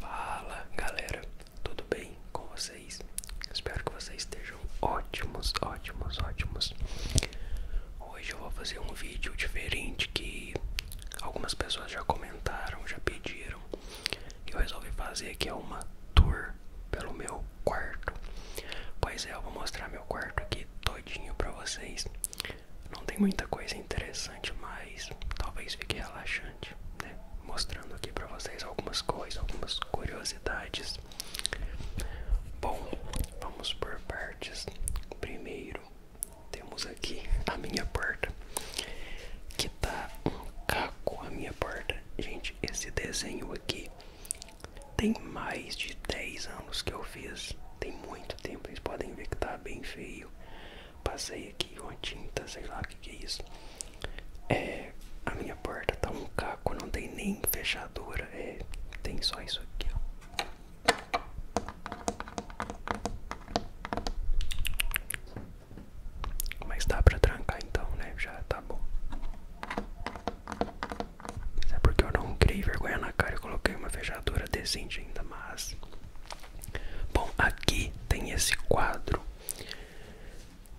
Fala galera, tudo bem com vocês? Espero que vocês estejam ótimos, ótimos, ótimos. Hoje eu vou fazer um vídeo diferente que algumas pessoas já comentaram, já pediram. Que eu resolvi fazer que é uma tour pelo meu quarto. Pois é, eu vou mostrar meu quarto aqui todinho pra vocês. Não tem muita coisa interessante, mas talvez fique relaxante, né? Mostrando aqui para vocês algumas coisas, algumas curiosidades. Bom, vamos por partes. Primeiro, temos aqui a minha porta, que tá um caco a minha porta. Gente, esse desenho aqui tem mais de 10 anos que eu fiz muito tempo. Vocês podem ver que tá bem feio. Passei aqui uma tinta, sei lá o que, é isso. É, a minha porta tá um caco, não tem nem fechadura. É, tem só isso aqui, Mas dá pra trancar então, né? Já tá bom. é porque eu não criei vergonha na cara e coloquei uma fechadura operadora decente ainda mais. Bom, aqui tem esse quadro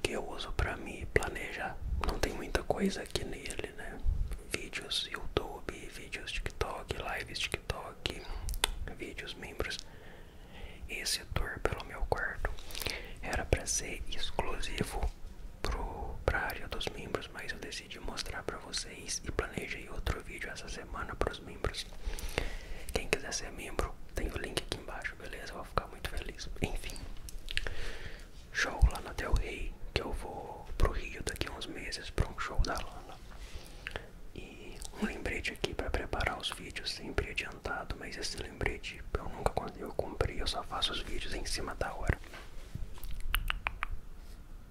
que eu uso para me planejar. Não tem muita coisa aqui nele, né? Vídeos YouTube, vídeos TikTok, lives TikTok, vídeos membros. Esse dor pelo meu quarto era para ser exclusivo para a área dos membros, mas eu decidi mostrar para vocês e planejei outro vídeo essa semana para os membros. Quem quiser ser membro, tem o link aqui embaixo, beleza? Eu vou ficar muito feliz. Enfim, show lá na Del Rey, que eu vou pro Rio daqui a uns meses para um show da Lana. E um lembrete aqui para preparar os vídeos sempre adiantado, mas esse lembrete eu nunca eu cumpri, eu só faço os vídeos em cima da hora.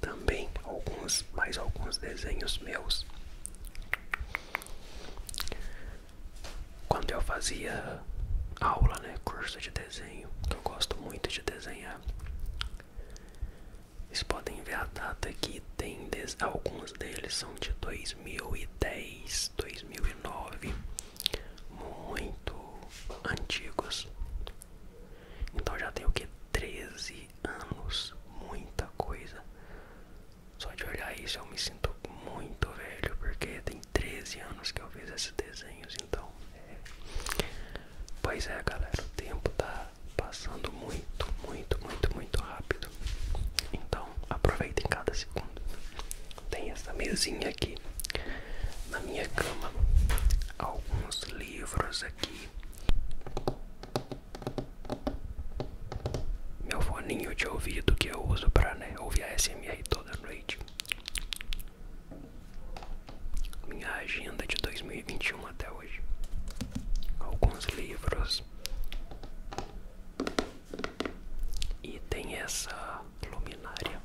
também alguns mais alguns desenhos meus quando eu fazia aula, né, curso de desenho, que eu gosto muito de desenhar. Vocês podem ver a data aqui, tem des... alguns deles são de 2010, 2009, muito antigos. Então já tem o que? 13 anos, muita coisa. Só de olhar isso eu me sinto muito velho, porque tem 13 anos que eu fiz esses desenhos, então é. Pois é galera, o tempo tá passando muito, muito, muito, muito rápido. Então aproveitem cada segundo. Tem essa mesinha aqui na minha cama, alguns livros aqui meu foninho de ouvido que eu uso pra né, ouvir a SMR toda noite. Minha agenda é de 2021 até hoje. Alguns livros. E tem essa luminária.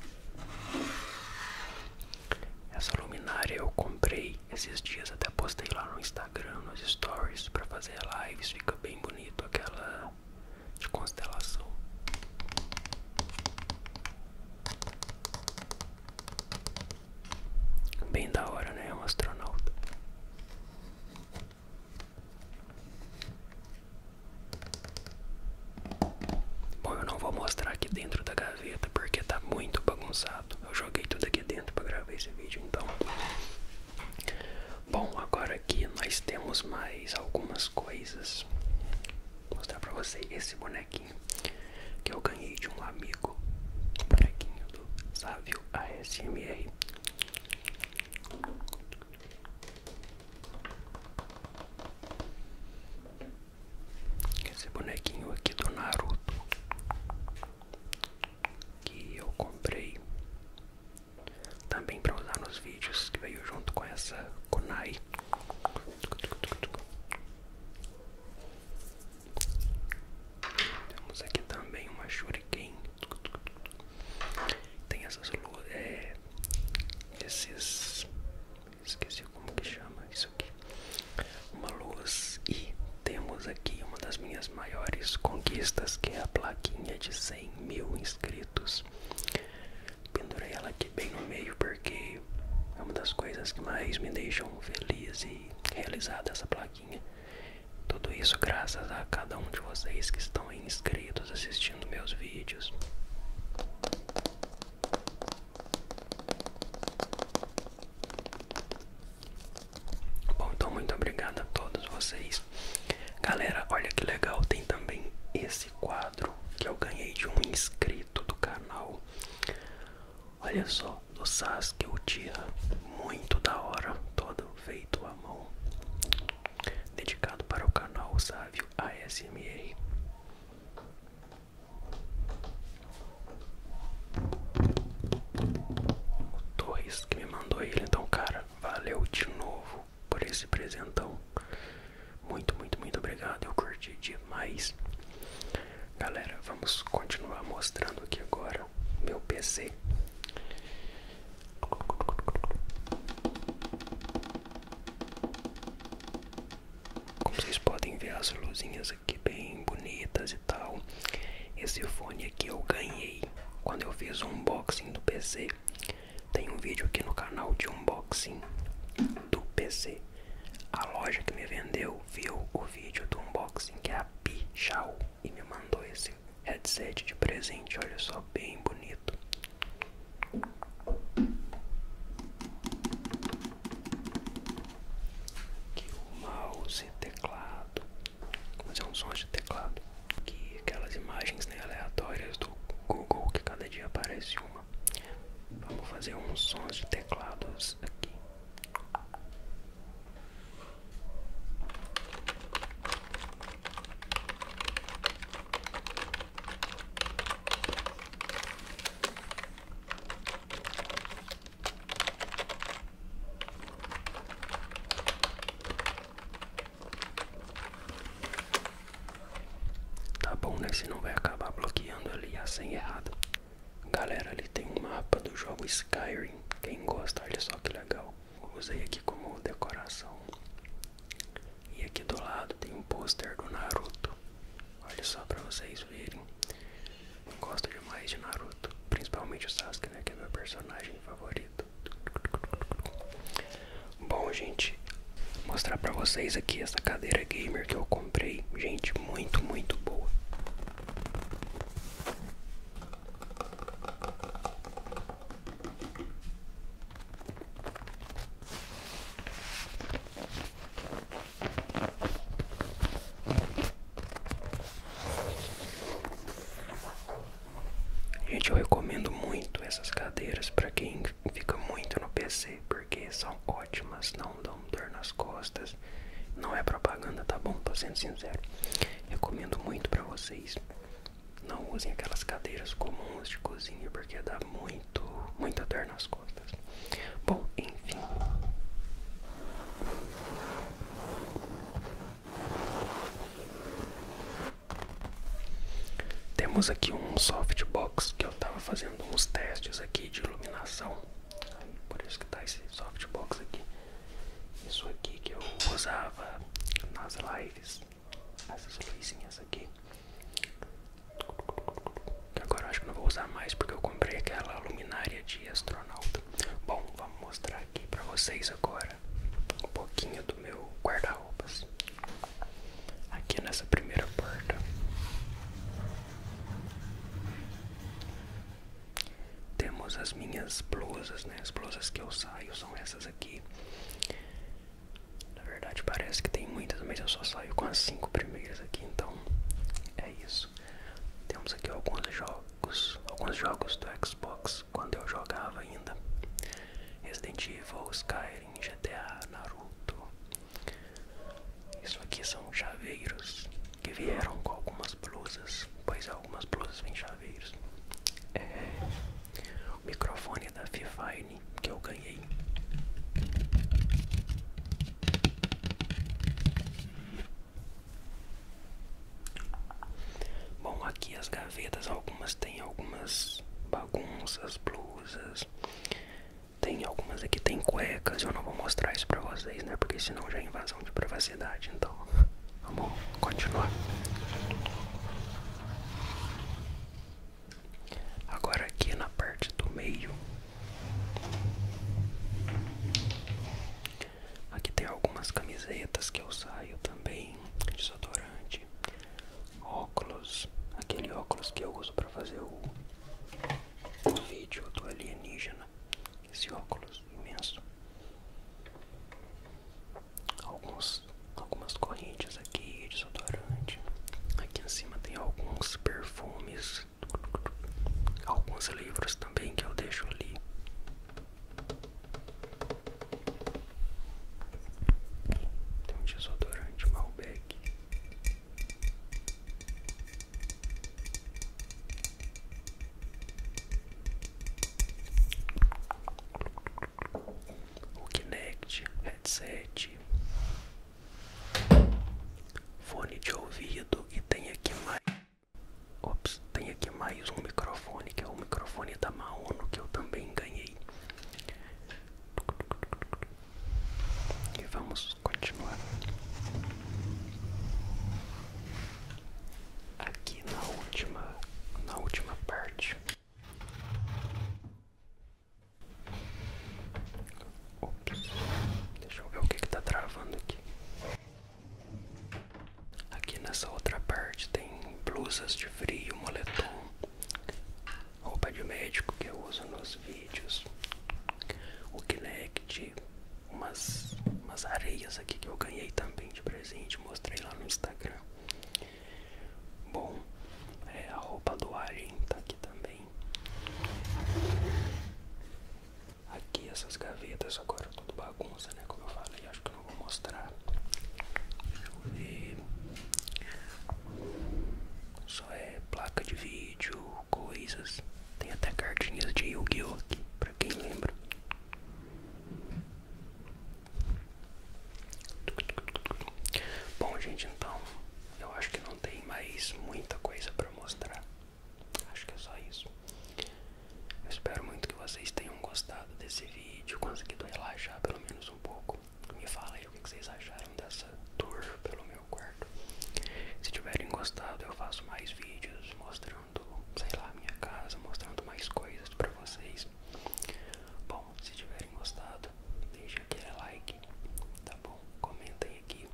Essa luminária eu comprei esses dias até postei lá no Instagram, nos stories, para fazer lives, fica bem bonito aquela de constelação. Bem da hora, né? Um astronauta. Bom, eu não vou mostrar aqui dentro da gaveta porque tá muito bagunçado. Eu joguei tudo aqui dentro para gravar esse vídeo, então. Bom, agora aqui nós temos mais algumas coisas. Vou mostrar para vocês esse bonequinho que eu ganhei de um amigo. O bonequinho do Sávio ASMR. Esse bonequinho aqui do Naruto que eu comprei também para usar nos vídeos que veio junto com essa Konai. Temos aqui também uma Shuriken. Tem essas é, esses esqueci como que chama isso uma luz e temos aqui uma das minhas maiores conquistas que é a plaquinha de 100 mil inscritos pendurei ela aqui bem no meio porque é uma das coisas que mais me deixam feliz e realizada essa plaquinha tudo isso graças a cada um de vocês que estão inscritos assistindo meus vídeos Bom, então muito obrigado a todos vocês. Galera, olha que legal, tem também esse quadro que eu ganhei de um inscrito do canal. Olha só, do Sasuke Uchiha, muito da hora, todo feito à mão. Dedicado para o canal Sávio ASMR. O Torres que me mandou ele, então, cara, valeu de novo por esse presentão. Muito, muito, muito obrigado. Eu curti demais. Galera, vamos continuar mostrando aqui agora meu PC. Como vocês podem ver as luzinhas aqui bem bonitas e tal Esse fone aqui eu ganhei quando eu fiz o unboxing do PC Tem um vídeo aqui no canal de unboxing do PC A loja que me vendeu viu o vídeo do unboxing que é a Pichau E me mandou esse headset de presente, olha só, bem bonito que o mouse e teclado, como é um som de teclado, que aquelas imagens né, aleatórias do Google que cada dia aparece uma. Vamos fazer uns sons de teclados aqui. Tá bom, né? não vai acabar bloqueando ali a senha errada. Galera, ali tem um mapa do jogo Skyrim. Quem gosta, olha só que legal. Usei aqui como decoração. E aqui do lado tem um pôster do Naruto. Olha só para vocês verem. Gosto demais de Naruto, principalmente o Sasuke, né? Que é meu personagem favorito. Bom, gente, vou mostrar para vocês aqui essa cadeira gamer que eu comprei. Gente, muito, muito boa. Gente, eu recomendo muito essas cadeiras para quem fica muito no PC, porque são ótimas, não dão dor nas costas. Não é propaganda, tá bom? Tô sendo sincero. Recomendo muito para vocês. Não usem aquelas cadeiras comuns de cozinha, porque dá muito, muita dor nas costas. Bom, enfim. Temos aqui um softbox que eu tava fazendo uns testes aqui de iluminação. por isso que tá esse softbox aqui. Isso aqui que eu usava nas lives. Essas luzinhas aqui agora eu acho que não vou usar mais porque eu comprei aquela luminária de astronauta. Bom, vamos mostrar aqui pra vocês agora um pouquinho do meu guarda-roupas. Aqui nessa primeira porta. Temos as minhas blusas, né? As blusas que eu saio são essas aqui. Na verdade parece que tem muitas, mas eu só saio com as cinco primeiras aqui, então é isso. Temos aqui alguns jogos, alguns jogos do Xbox quando eu jogava ainda. Resident Evil, Skyrim, GTA, Naruto. Isso aqui são chaveiros que vieram com algumas blusas, pois algumas blusas vêm chaveiros. É, o microfone da Fifine que eu ganhei. Bom, aqui as gavetas, algumas tem algumas bagunças, blusas. Tem algumas aqui tem cuecas, eu não vou mostrar isso pra vocês, né? Porque senão já é invasão de privacidade, então vamos tá continuar. Agora aqui na parte do meio Aqui tem algumas camisetas que eu saio também, desodorante, óculos, aquele óculos que eu uso para fazer o, vídeo do alienígena, esse óculos imenso. Alguns, algumas correntes aqui, desodorante. Aqui em cima tem alguns perfumes alguns livros também que eu deixo ali. Tem um desodorante Malbec. O Kinect, headset, Fone de ouvido e tem aqui mais. Ops, tem aqui mais um microfone que é o microfone da Mauno que eu também ganhei. E vamos continuar. Aqui na última, na última parte. Deixa eu ver o que está travando aqui. Aqui nessa outra parte tem blusas de frio, moletom, roupa de médico que eu uso nos vídeos, o Kinect, umas, umas areias aqui que eu ganhei também de presente, mostrei lá no Instagram. Bom, é, a roupa do Alien está aqui também. Aqui essas gavetas agora é tudo bagunça, né? Como eu falei, acho que eu não vou mostrar. Deixa eu ver. Só é placa de vídeo, coisas. Tem até cartinhas de Yu-Gi-Oh! aqui, pra quem lembra. Bom, gente, então eu acho que não tem mais muita coisa para mostrar. Acho que é só isso. Eu espero muito que vocês tenham gostado desse vídeo, conseguido relaxar pelo menos um pouco. Me fala aí o que vocês acharam dessa tour pelo meu quarto. Se tiverem gostado, eu faço mais vídeos mostrando, sei lá, minha casa, mostrando mais coisas para vocês. Bom, se tiverem gostado, deixe aquele like, tá bom? Comentem aqui.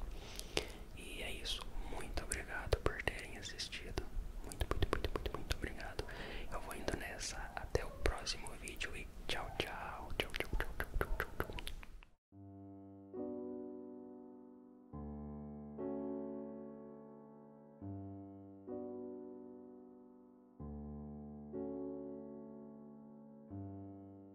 E é isso. Muito obrigado por terem assistido. Muito, muito, muito, muito, muito obrigado. Eu vou indo nessa. Até o próximo vídeo e tchau. Tchau, tchau, tchau, tchau, tchau, tchau. tchau.